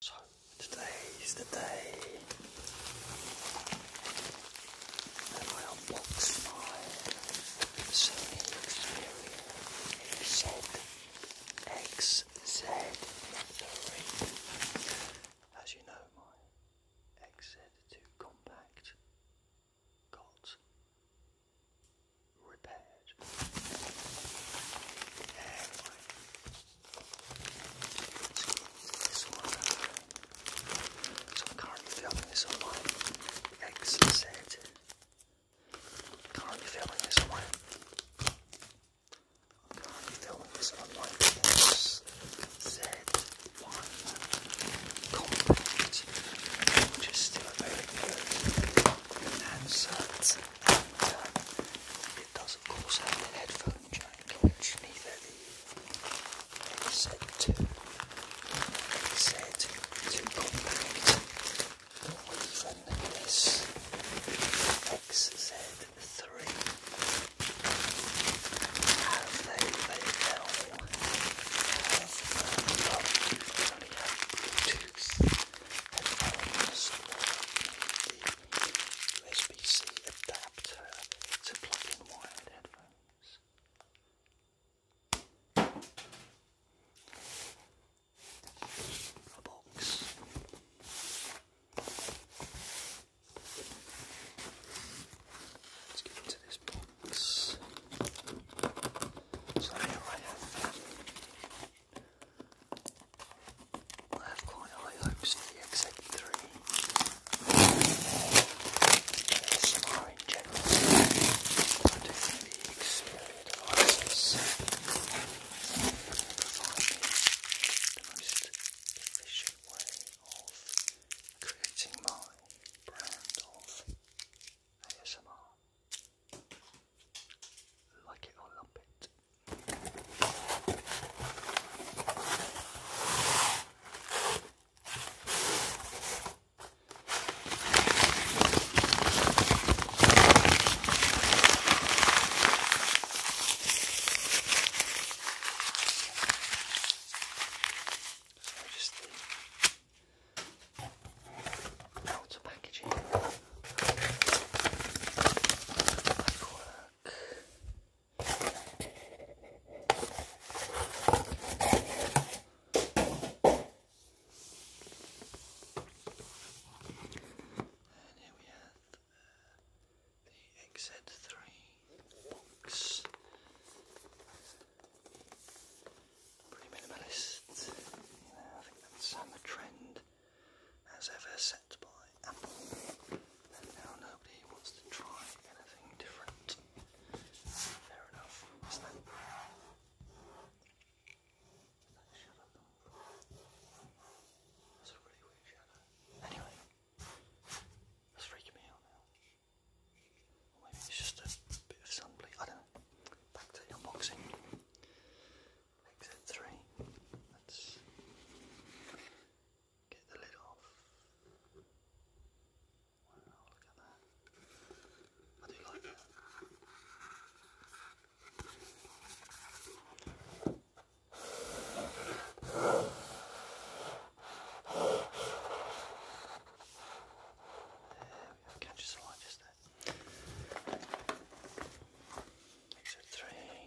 So today is the day that I unbox my Sony Xperia ZXZ3. As you know, my XZ2 compact got repaired. So I'm currently filming this on my x Currently filming this on my... i currently filming this on my xz Compact, which is still very good. And it does, of course, have the headphone jack, which neither the AZ2 AZ2 Compact or this XZ3 have. They, they and elements the USB-C adapter to plug in wired headphones. A box. Let's get into this box. So here I have I have quite high hopes for the XZ3. ASMR in general. I do think the Xperia devices provide the most efficient way of creating my brand of ASMR. Like it or lump it. So just the Lots packaging. here we have the XZ3 box. Pretty minimalist. I think that's um, trend as ever set by Apple. And now nobody wants to try anything different. Fair enough. that shadow That's a really weird shadow. Anyway, that's freaking me out now. maybe it's just a bit of sunbleed. I don't know. Back to unboxing makes it three. Let's get the lid off. look at that. I do like There we go, catch a slide just there. These three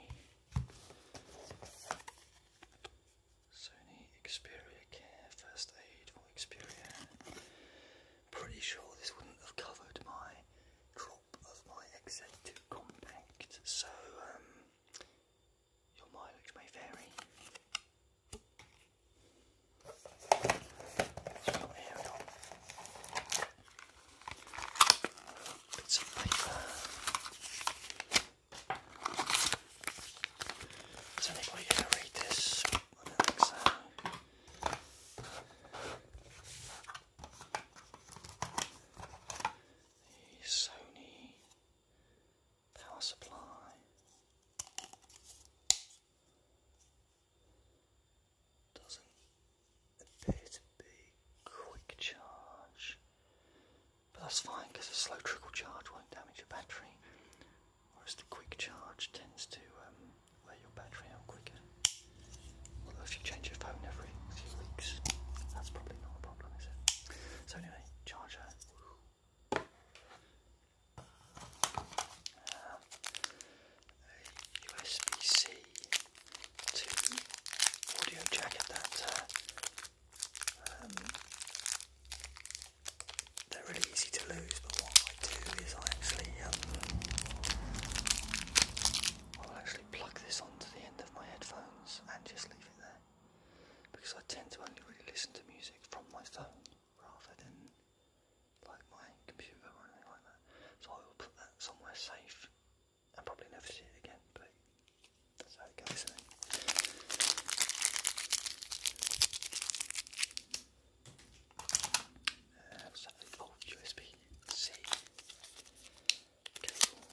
Sony Xperia Care First Aid for Xperia. Pretty sure this wouldn't have covered my crop of my XZ2 Compact, so um, your mileage may vary. here at all bits paper. Is anybody going to read this? The Sony power supply. Doesn't appear to be quick charge, but that's fine because a slow trickle charge won't damage your battery, whereas the quick charge tends to um, wear your battery out quicker. Although if you change your phone every few weeks, that's probably not a problem, is it? So anyway, charger. Uh, USB-C to audio jack at uh, um, they're really easy to lose but what I do is I actually um, I'll actually plug this onto the end of my headphones and just leave it there because I tend to only really listen to music from my phone rather than like my computer or anything like that. So I will put that somewhere safe and probably never see it again, but so, uh, oh, USB-C cable.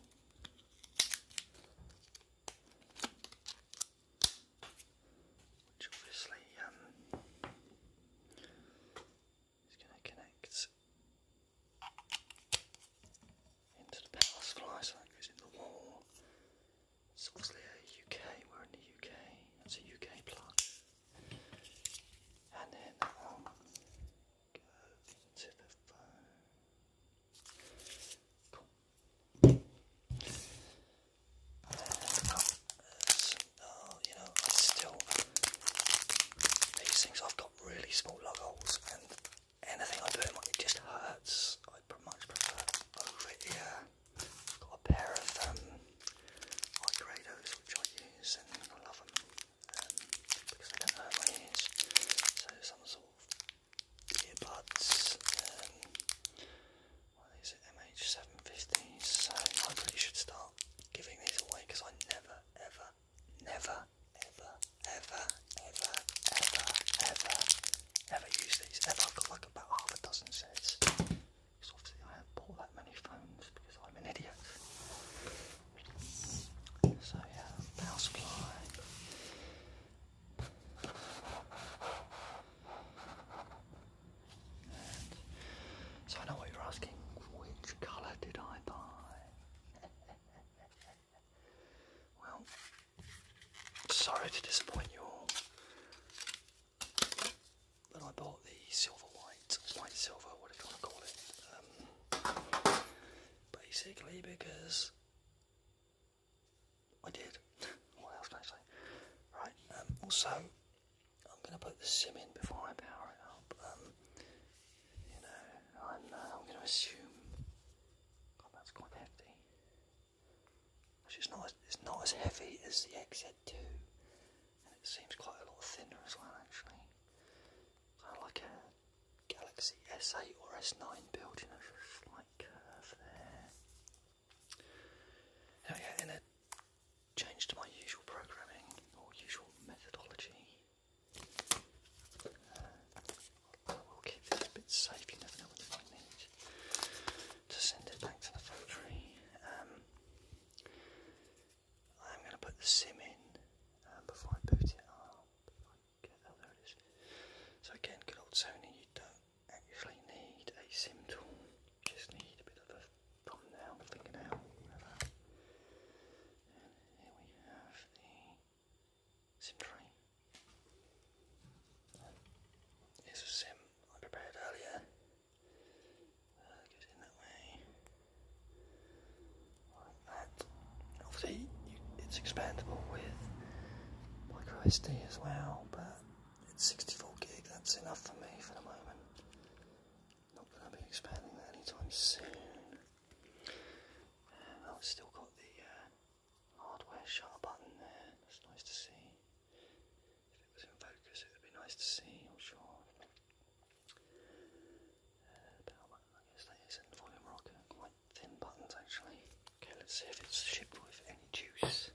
Which obviously um, He's going to connect into the power supply, so that goes in the wall. It's obviously a UK, we're in the UK, that's a UK plug. And then um, that one the phone uh, you know, I still, these things, I've got really small lug holes, and anything I do in it just hurts. I much prefer over it, yeah. I've got a pair of um, high grados which I use, and I love them um, because they don't hurt my ears. So, some sort of earbuds, um, well, these are MH750s, so I really should start giving these away because I never, ever, never, ever, ever, ever, ever, ever, ever use these. Ever. I've got like about half a dozen sets. Because obviously I haven't bought that many phones because I'm an idiot. So yeah, power supply so I know what you're asking. Which colour did I buy? well, sorry to disappoint you all, but I bought the silver white, white silver, What whatever you want to call it. Um, basically, because I did. what else can Right. Um, also, I'm going to put the sim in before I power it up. Um, you know, I'm, uh, I'm going to assume. that's quite hefty. Actually, it's not as, it's not as heavy as the XZ2, and it seems quite a lot thinner as well. Actually, kind of like a Galaxy S8 or S9 build. You know, slight curve there yeah, in a change to my usual programming or usual methodology, uh, I will keep this bit safe. You never know what you might need to send it back to the factory. Um, I'm going to put the sim in uh, before I boot it up. So again, good old Sony, you don't actually need a sim tool just need a bit of a thumbnail, fingernail, And here we have the sim tray. And here's a sim I prepared earlier. Uh, goes in that way, like that. Obviously, it's expandable with micro SD as well, but it's 64 gig, that's enough for me for the moment. Not going to be expanding that anytime soon. I've still got the uh, hardware shutter button there, that's nice to see. If it was in focus, it would be nice to see, I'm sure. Uh, power button, I guess that is, and volume rocker, quite thin buttons actually. Okay, let's see if it's shipped with any juice.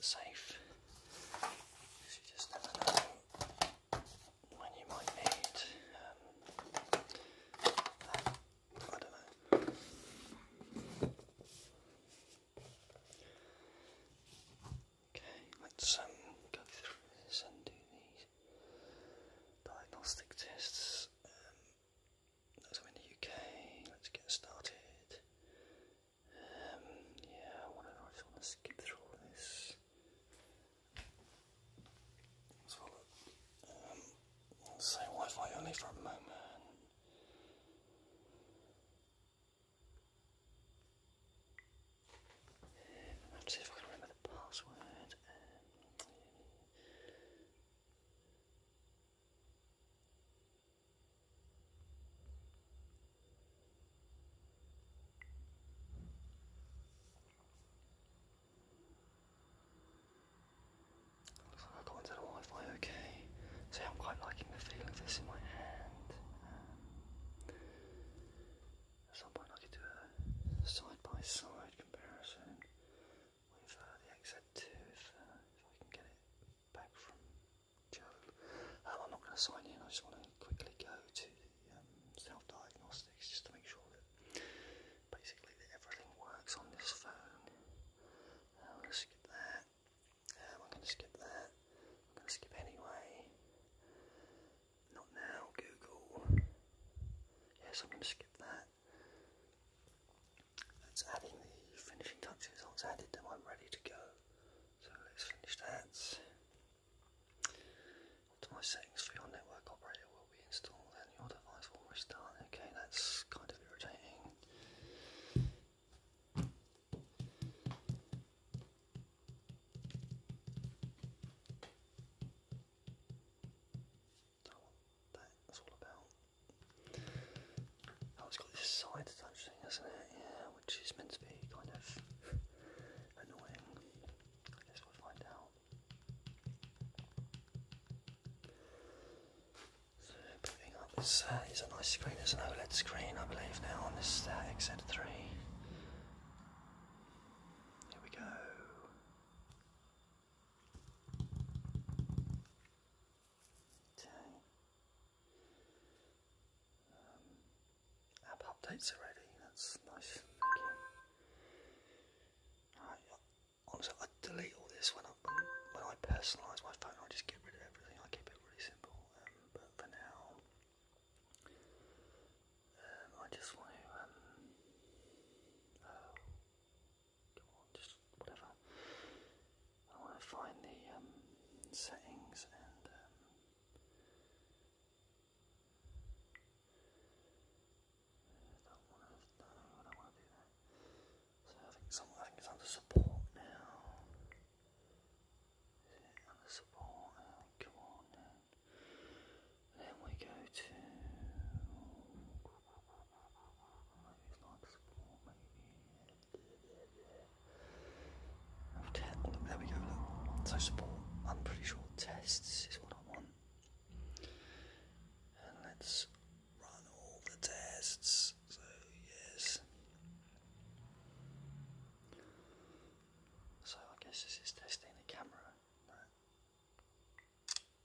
safe. You just never know when you might need um, I don't know. Okay, let's um, go through this and do these diagnostic tests. Um, in the UK. Let's get started. Um, yeah, whatever, I just want to skip through all this. Let's have Um, let Wi-Fi only for a moment. let's see if I can remember the password. Um, Looks like I got into the Wi-Fi okay. So I'm quite liking the feel of this in my hand. at um, some point I could do a side-by-side comparison with uh, the XZ2 uh, if I can get it back from Job. Um, I'm not going to sign in, I just want to quickly go to the um, self diagnostics just to make sure that basically that everything works on this phone. Uh, I'm going to skip that. Um, I'm going to skip that. I'm going to skip anyway. Not now, Google. Yes, I'm going to skip that. That's adding the finishing touches. Once added, then I'm ready to go. So let's finish that. Optimize settings for your network operator will be installed and your device will restart. Okay, that's kind of irritating. That's all about. Oh, it's got this side touch thing, hasn't it? Yeah, which is meant to be kind of annoying. I guess we'll find out. So up is uh, a nice screen, it's an OLED screen I believe now on this uh, XZ3. Here we go. Okay. Um, app updates already, that's nice, thank you. honestly, I delete all this when I, when, I personalise my phone, I just get rid of everything, I keep it really simple, um, but for now, um, I just want to, um, oh, come on, just whatever. I want to find the um, settings and um, I don't want to I don't want to do that. So I think it's under support now. Is it under support now? Oh, come on then. we go to maybe it's like support maybe i there we go, So support, I'm pretty sure tests is what I want. let's run all the tests. So yes. So I guess this is testing the camera.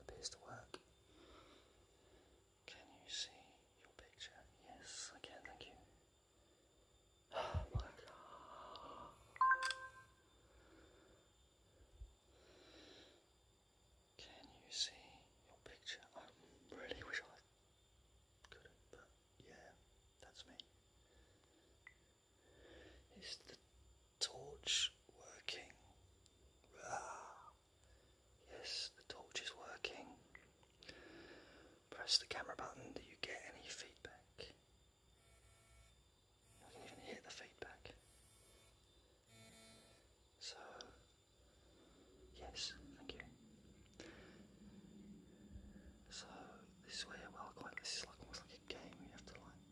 appears to work. Can you see your picture? Yes, I can, thank you. Oh my god. Can you see your picture? I really wish I could, but yeah, that's me. Is the torch working? Ah. Yes, the torch is working. Press the camera button Do you get any feedback. I can even hear the feedback. So, yes, thank you. So, this is where, well, quite, this is like almost like a game. You have to like.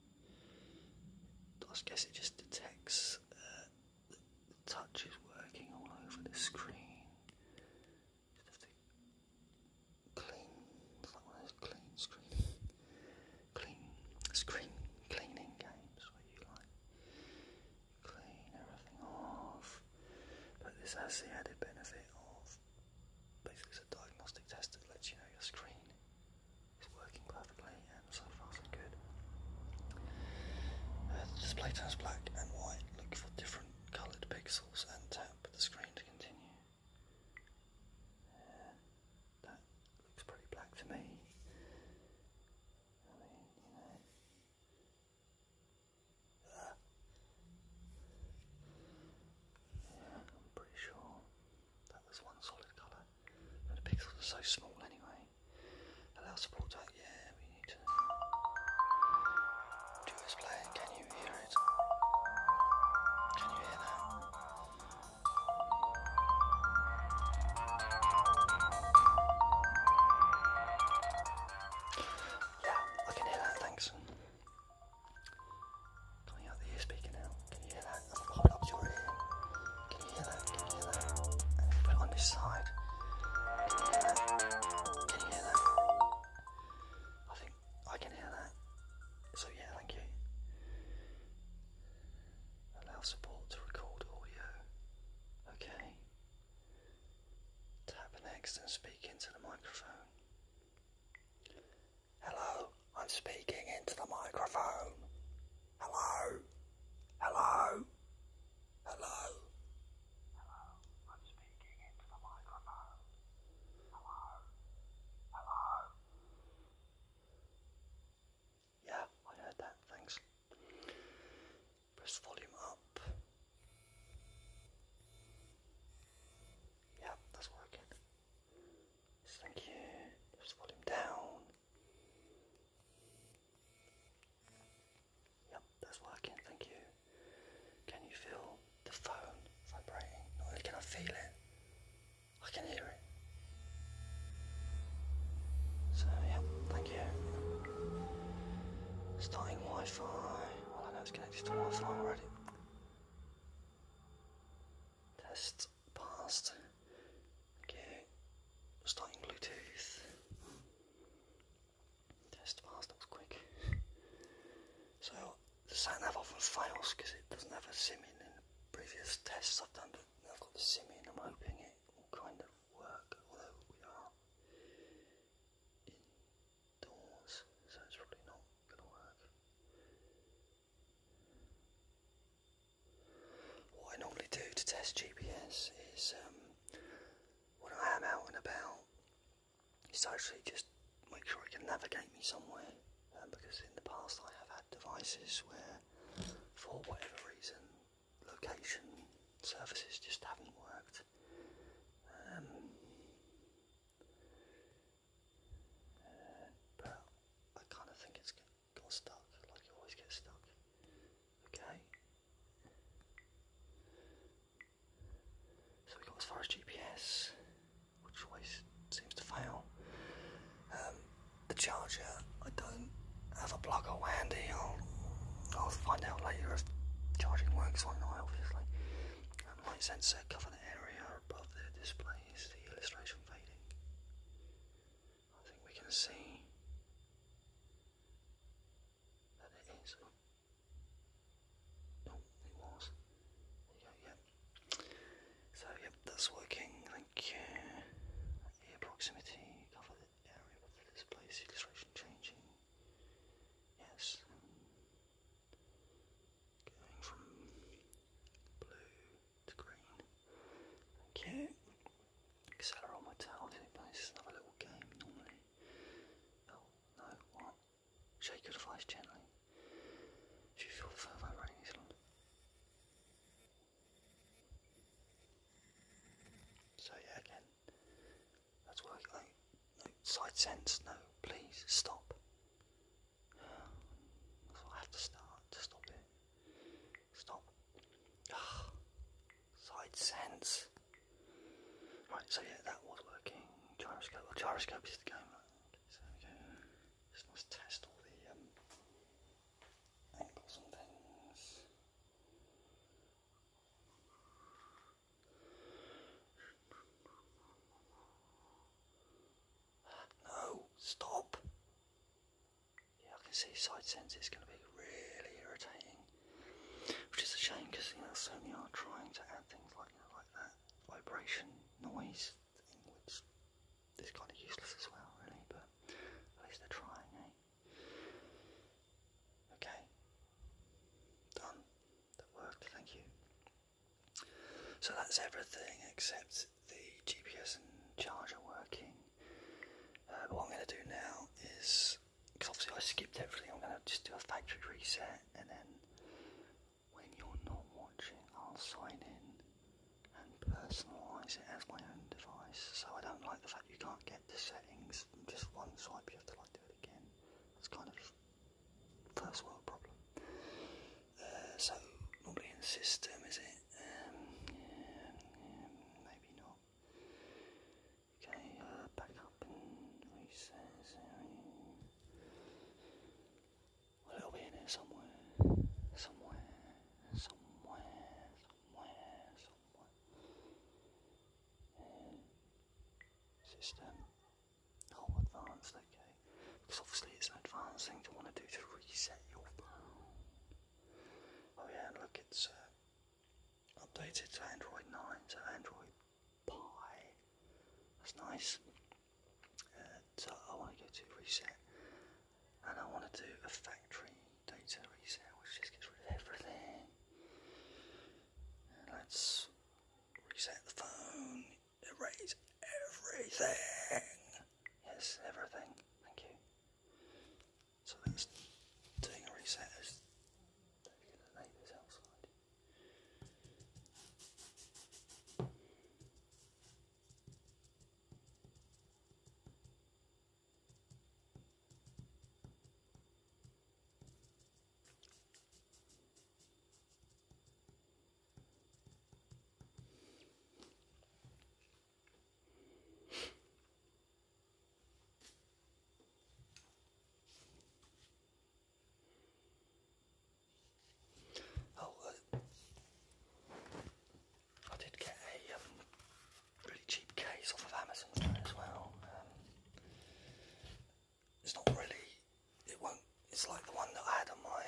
I guess it just detects uh, the touch is working all over the screen. Just have to clean, it's like clean screen, clean screen cleaning games where you like clean everything off. But this has the added benefit of basically it's a diagnostic test that lets you know your screen is working perfectly and so far so good. Uh, the display turns black and white look for different colored pixels and tap the screen to continue. that looks pretty black to me. I mean, you know. Ah. I'm pretty sure that was one solid colour. But the pixels are so small anyway do this play. Can you hear it? Can you hear that? Yeah, I can hear that, thanks. Coming out the ear speaker now. Can you hear that? i up your ear. Can you hear that? Can you hear that? put it on this side. Can you hear that? I think I can hear that. So yeah, thank you. Allow support to record audio. Okay. Tap next and speak into the microphone. Hello, I'm speaking into the microphone. Hello. Hello. Hello. Hello, I'm speaking into the microphone. Hello, hello. Yeah, I heard that, thanks. Press volume up. Yeah, that's working. Thank you. Press volume down. Yep, that's working, thank you. Can you feel the phone vibrating? Not can I feel it, I can hear it. So yeah, thank you. Starting Wi-Fi. Well oh, I know it's connected to Wi-Fi already. Test passed. Okay. Starting Bluetooth. Test files, that was quick. so, the sign I've often fails because it doesn't have a sim in, previous tests I've done, I've got the sim in, I'm hoping it will kind of work, although we are indoors, so it's probably not going to work. What I normally do to test GPS is um, when I am out and about is actually just make sure it can navigate me somewhere. Um, because in the past I have had devices where, for whatever reason, location services just haven't worked. Um, but I kind of think it's got stuck, like it always gets stuck. Okay, so we got as far as GPS, which always seems to fail. Um, the charger, I don't have a plug all handy. I'll, I'll find out later if charging works or not, obviously. Um, sensor cover area above the display is the illustration fading. I think we can see that it is. Oh, it was. yep. So, yep, that's working. Thank you. Ear proximity, cover the area of the displays, illustration changing. Yes. Going from blue to green. Thank Accelerate on my towel it's another little game normally. Oh, no, what? Shake your device gently. If you feel further running So yeah, again, that's working. No, side sense, no, please, stop. so I have to start to stop it. Stop. Ah, side sense. Right, so yeah, that was working. Gyroscope. gyroscope is the game. so we go. Just must test all the um, angles and things. No, stop. Yeah, I can see side sense is going to be really irritating, which is a shame because you know Sony are trying to add things like like that vibration noise thing, which kind of useless as well, really. But at least they're trying, eh? Okay, done. That worked. Thank you. So that's everything except the GPS and charger working. Uh, what I'm going to do now is, because obviously I skipped everything, I'm going to just do a factory reset and then when you're not watching, I'll sign in and personalise it as my own device. So I don't like the fact you can't get to settings just one swipe, you have to like do it again. That's kind of first world problem. Uh, so normally in system is it? Um, maybe not. Okay, uh, back up and recess area. it'll be in here somewhere. Somewhere. Somewhere. Somewhere. Somewhere. System. Oh, advanced, okay. Because obviously it's an advanced thing to want to do to reset your Oh yeah, look, it's... Uh, updated to Android 9, so Android Pie. That's nice. Uh, I go to reset, and I want to do a factory data reset, which just gets rid of everything. let's reset the phone. Erase everything. Yes, everything. Thank you. So that's doing a reset Oh, uh, I did get a um, really cheap case off of Amazon as well. Um, it's not really, it won't, it's like the one that I had on my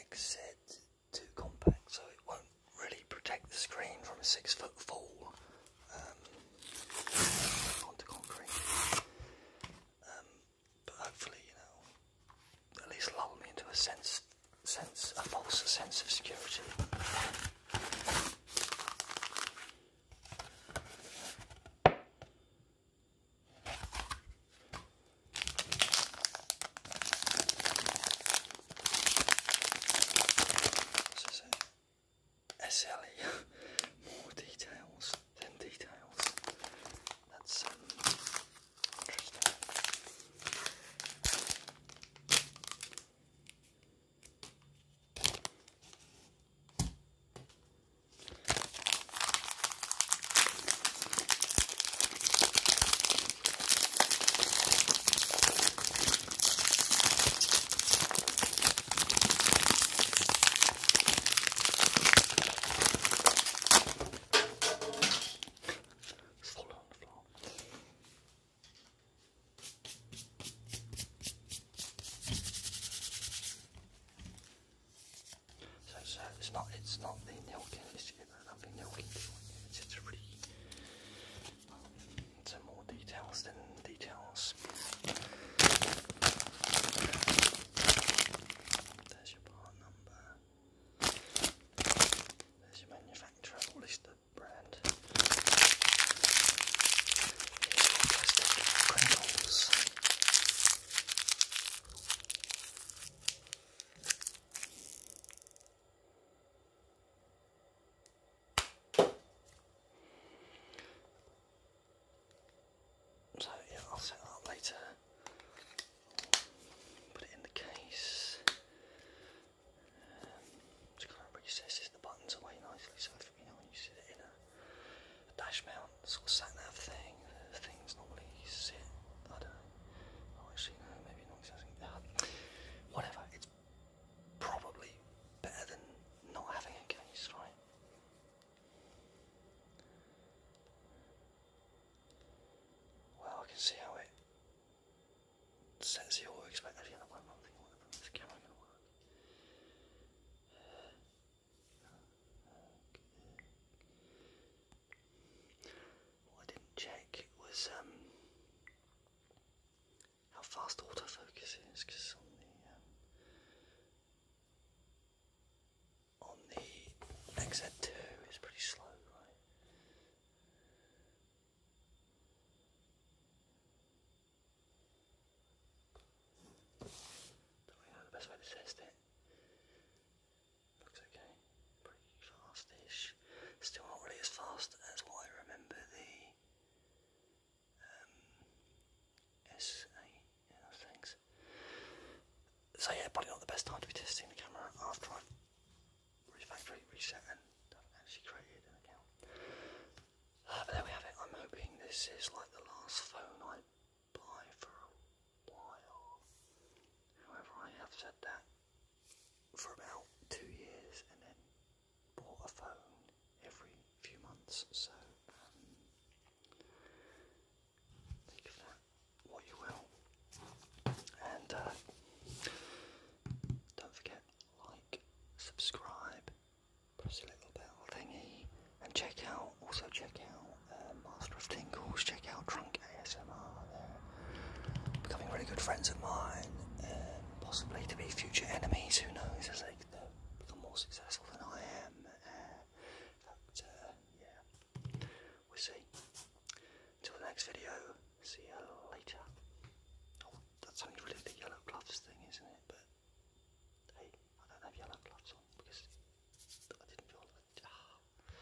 exit too compact, so it won't really protect the screen from a six foot fall um, onto concrete. Um, but hopefully, you know, at least lull me into a sense, sense, a false sense of security. This is it. SLE. More details than details. That's um, interesting. Fall on the floor. So, so it's not it's not the Nilkin, it's Stupid. I think that we can do it. some more details than details. There's your part number. There's your manufacturer, or at least brand. Here's so yeah, I'll set that up later. Put it in the case. Um, just kind of recesses the buttons away nicely, so if you know when you sit it in a, dash mount sort of sat nav thing, things normally sit. I don't know. Oh, actually no, maybe Whatever, it's probably better than not having a case, right? Well, I can see how it sets the auto expect what I didn't check was um, how fast autofocus is, because on the um, on the XZ2 it's pretty slow, right? Don't really the best way to test it. Looks okay. Pretty fast Still not really as fast as what I remember the um, SA. Yeah, So yeah, probably not the best time to be testing the camera after I've reset and actually created an account. Uh, but there we have it. I'm hoping this is like the last phone I buy for a while. However, I have said that for about two years and then bought a phone every few months. So um, think of that what you will. And uh, don't forget, like, subscribe, press the little bell thingy, and check out, also check out uh, Master of Tinkles. check out Trunk. ASMR. They're becoming really good friends of mine, possibly to be future enemies. Who knows? As they become more successful than I am. but uh, yeah, we'll see. Until the next video. See you later. Oh, that's only really the yellow gloves thing, isn't it? But hey, I don't have yellow gloves on because I didn't feel like. Ah.